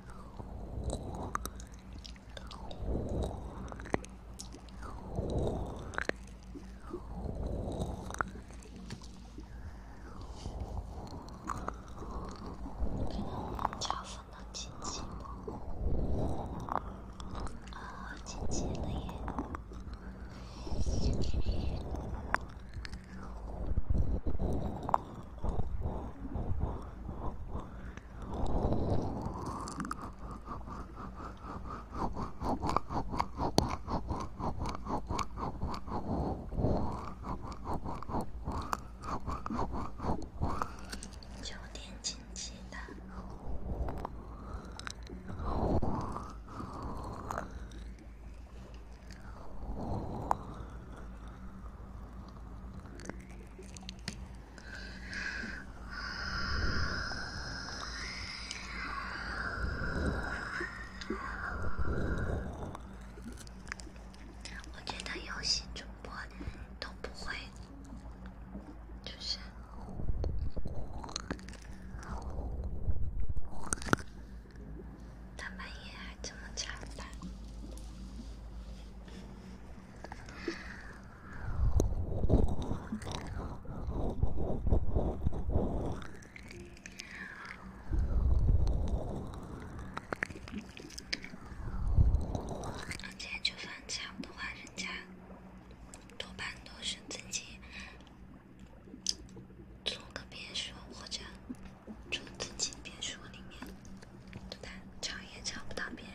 可能我们家分到姐姐了，哦，姐姐了耶！酒店经济的。我觉得游戏主播都不会，就是大半夜。这么简单，而且就算抢的话，人家多半都是自己租个别墅或者。住自己别墅里面，都难找也找不到别人。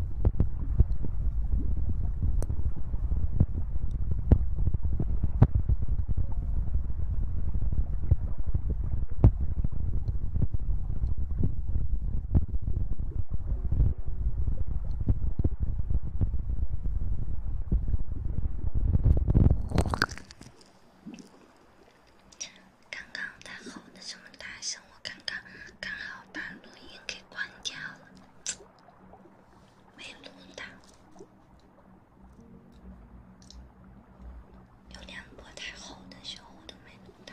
刚刚他吼的这么大声，我刚刚刚好把录音给关掉了。没录到，流量不太好的时候都没录到。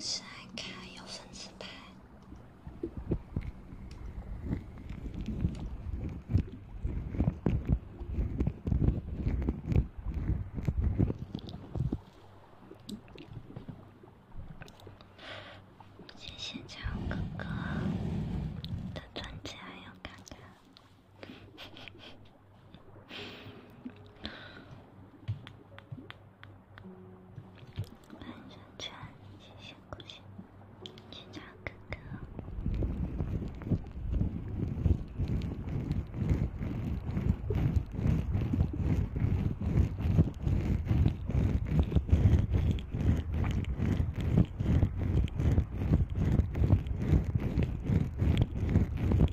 是爱看有粉丝拍，谢谢强哥哥的专辑，要看看。晚上见，谢谢关心，警察哥哥。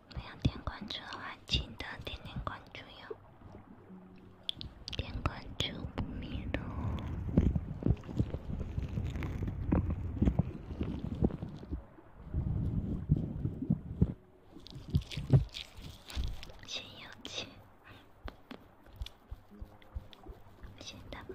不要点关注的话，请的点点关注哟，点关注不迷路。先有钱，先打磨。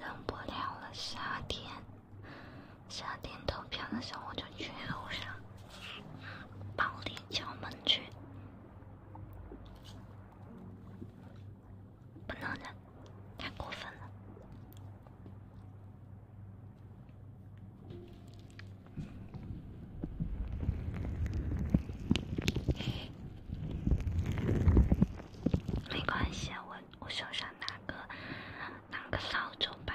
忍不了了，夏天，夏天投票的时候我就去楼上暴力敲门去。不能的，太过分了。没关系，我我手上拿个拿个扫帚吧。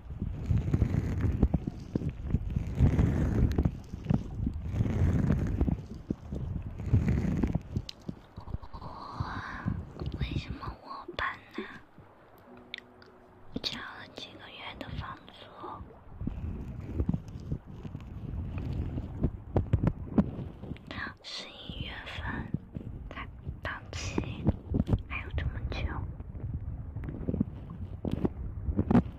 我为什么我搬呢？交了几个月的房租，十一月份才到期，还有这么久。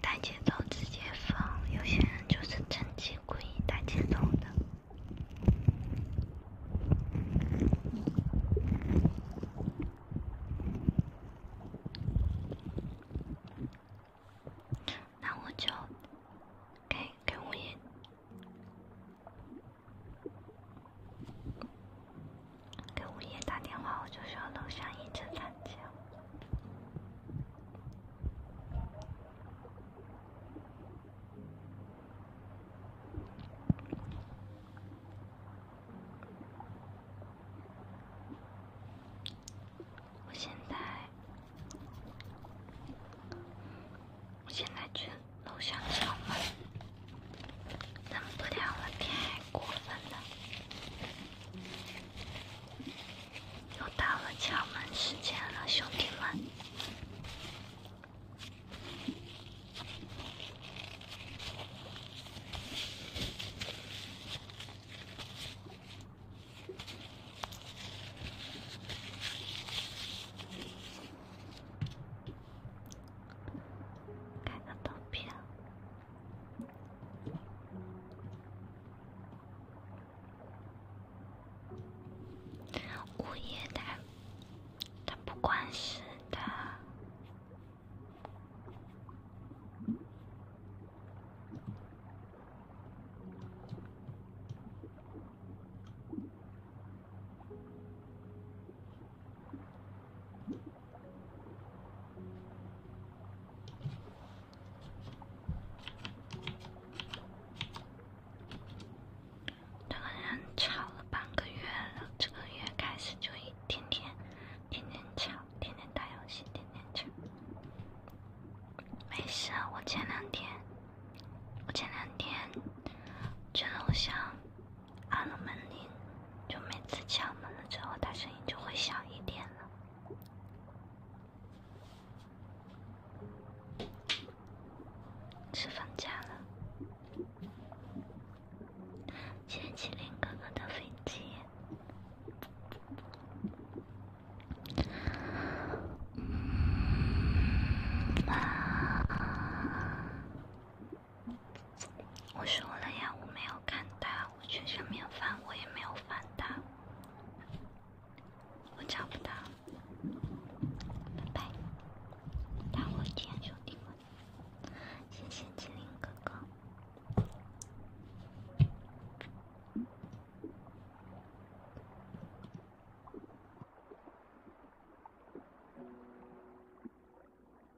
带节奏直接放，有些人就是趁机故意带节奏的。那我就给给五爷。给物业打电话，我就说楼上一直惨叫。我现在，我现在去楼上敲门。咱们不聊了，天还过分的，又到了敲门时间了，兄弟们，开个投票。物业他他不管事的。两个人吵了半个月了，这个月开始就一天天，天天吵，天天打游戏，天天吵。没事，我前两天，我前两天觉得我想。按了门铃，就每次敲门了之后，他声音就会小一点了。是放假了，谢麒麟哥哥的飞机。我说了呀，我没有看他，我去上面翻，我也没有翻他，我找不到，拜拜，大火箭兄弟们，谢谢吉林哥哥。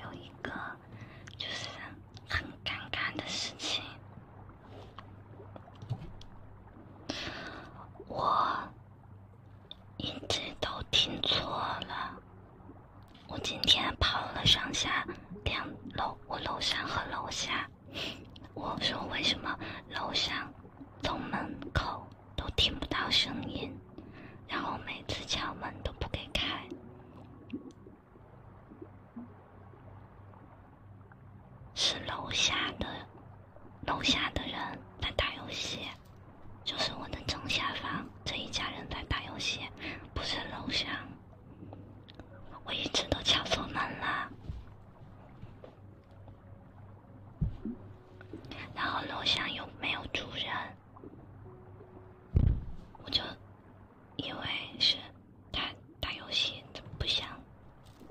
有一个，就是很尴尬的事情。我一直都听错了。我今天跑了上下两楼，我楼上和楼下。我说为什么楼上从门口都听不到声音，然后每次敲门都不给开。是楼下的，楼下的人在打游戏，就是我的正下方这一家人在打游戏，不是楼上。我一直都敲错门了，然后楼上又没有住人，我就。因为是他打游戏，不想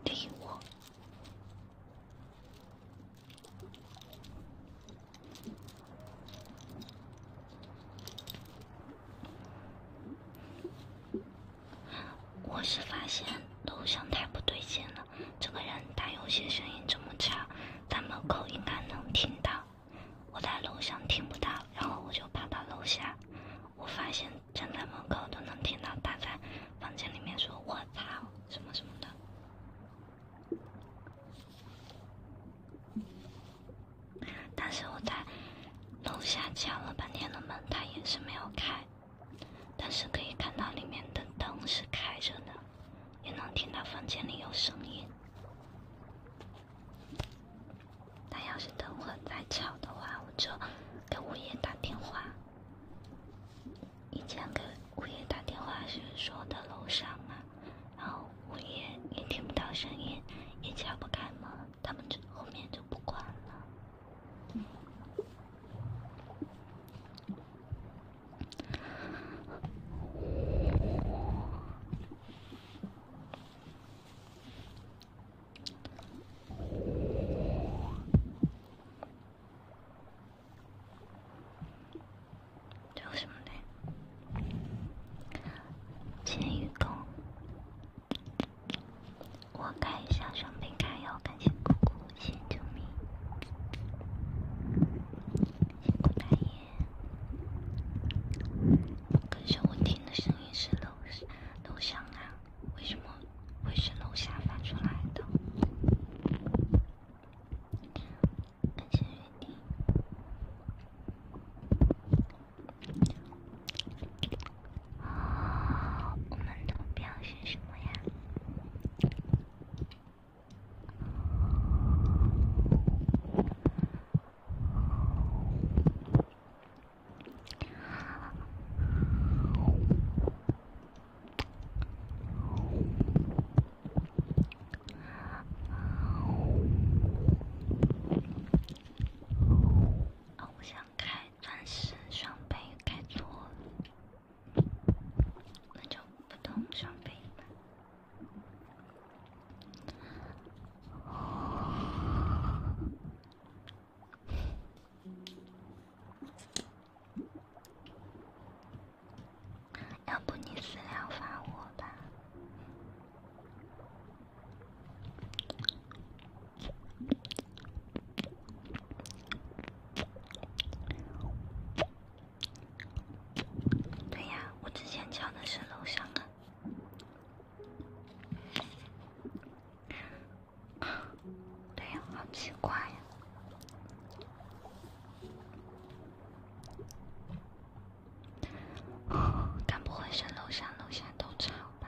理我。我是发现楼上太不对劲了，这个人打游戏声音这么吵，大门口应该能听到，我在楼上听不到，然后我就跑到楼下。我发现站在门口都能听到他在房间里面说“我操”什么什么的，但是我在楼下敲了半天的门，他也是没有开，但是可以看到里面的灯是开着的，也能听到房间里有声音。他要是等会再吵的话，我就给物业打电话。以前给物业打电话是说的楼上嘛，然后物业也听不到声音，也敲不开门，他们就后面就不管了。叫什么来？监狱狗，我开一下设备盖，感谢姑姑辛苦，辛苦大爷。可是我听的声音是楼楼上啊。为什么会是楼下发出来的？感谢约定。哦，我们投票是什么呀？啊，我想开钻石双倍，开错了，那就普通双倍。要不你私聊发我吧。对呀，我之前敲的是楼上啊。对呀，好奇怪呀！该 不会是楼上楼下都吵吧？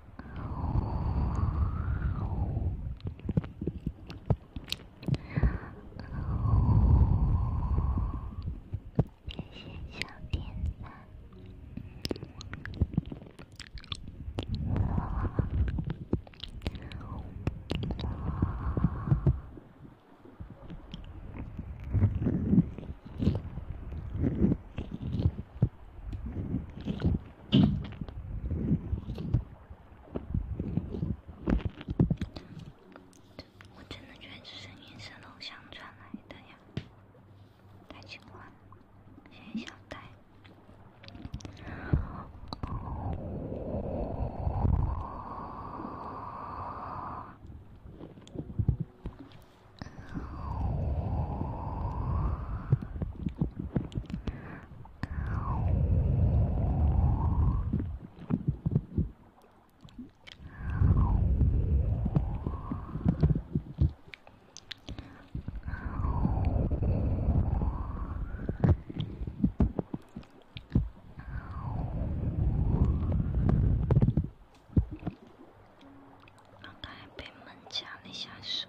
谢谢小点赞。我我真的觉得是女生楼上传来的呀，太奇怪了，谁想带？刚刚被门夹了一下手。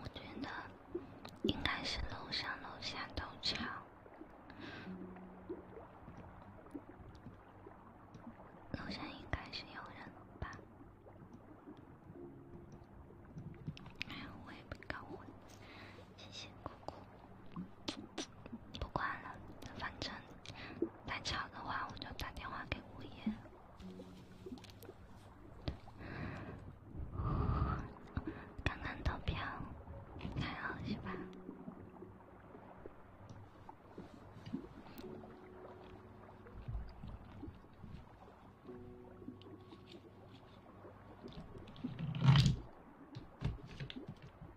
我觉得应该是楼上楼下都吵，楼下应该是有人吧，哎呀，我也不搞混。谢谢姑姑，不管了，反正太吵的话，我就打电话给物业。刚刚投票，还好是吧？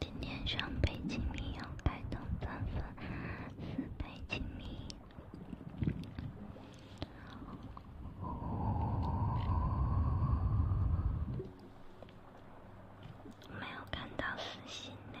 今天上北京米要开灯三分，四杯鸡米。哦，没有看到私信嘞。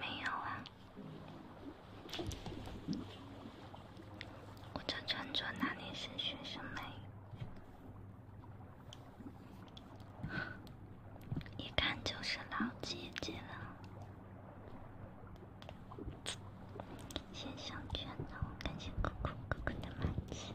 没有啊，我这穿着哪里是学生妹，一看就是老姐姐了。谢小圈的，感谢酷酷哥哥的麦子。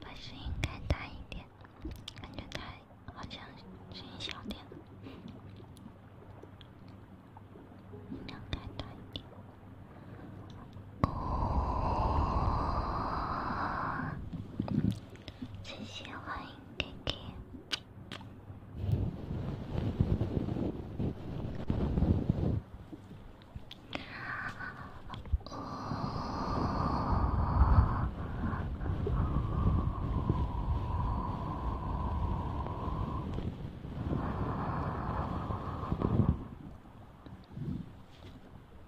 把声音开大一点，感觉它好像声音小点，音量开大一点。谢谢，欢给给。哦。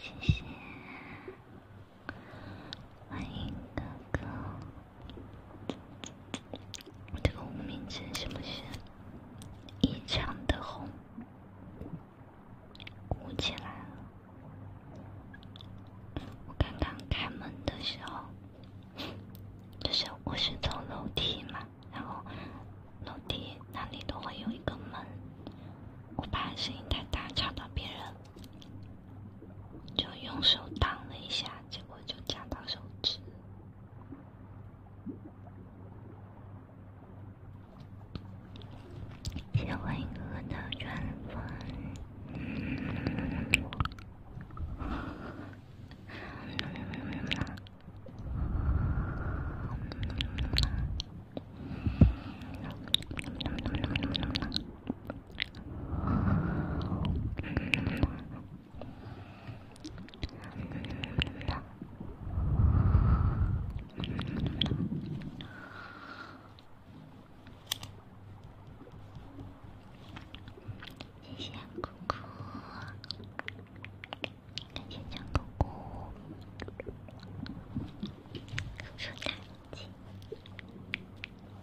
谢谢，欢迎哥哥。这个无名指是不是异常的红？鼓起来了。我刚刚开门的时候，就是我是走楼梯嘛，然后楼梯那里都会有一个门，我怕声音太大吵到别人，就用手挡了一下。结果就夹到手指。结婚歌的传闻。谢谢姑姑，感谢张姑姑，圣诞气。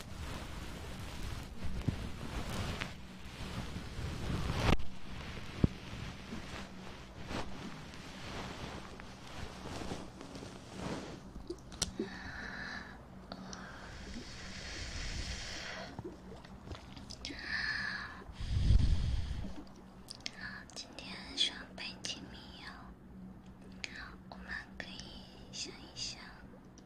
好，今天上北京密友。好，我们可以想一想。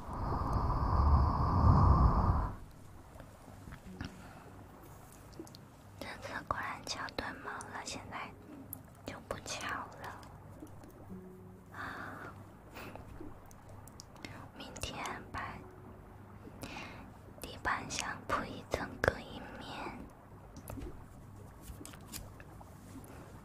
哦，这次果然敲断毛了，现在就不敲了啊！明天把地板上铺一层隔音棉。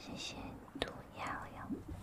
谢谢涂鸦哟。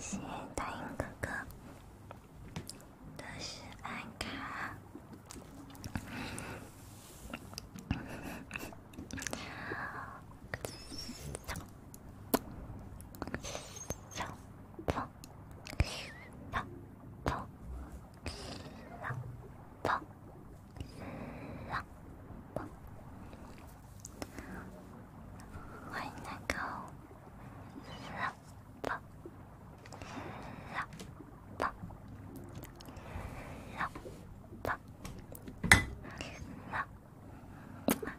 谢谢大英哥哥，都是暗卡。老婆，老婆，老婆，老婆，老婆，我能够，老婆，老婆，老婆，老婆。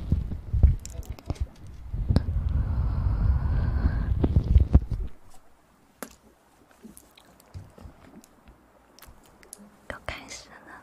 要开始了。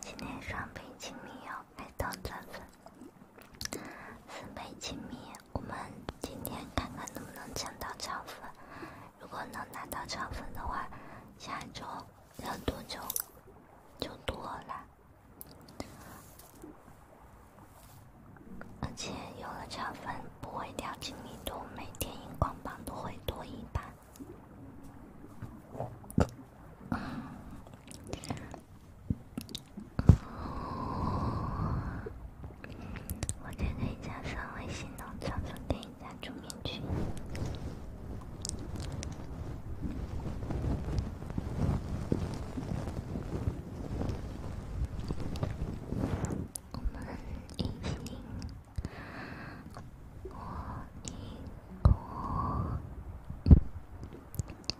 今天双倍亲密哟，爱到钻粉。四倍亲密，我们今天看看能不能抢到涨粉。如果能拿到涨粉的话，下周人多就就多了，而且有了涨粉不会掉亲密度，每天荧光棒都会多一半。哦，我先给你加上微信呢，然后给你加主群。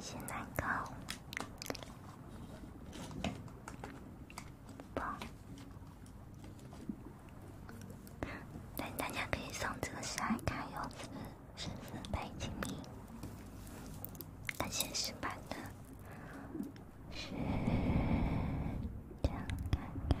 谢谢奶狗，啵！但大家可以送这个小卡，有是是四倍金币，感谢石的，是这样看看。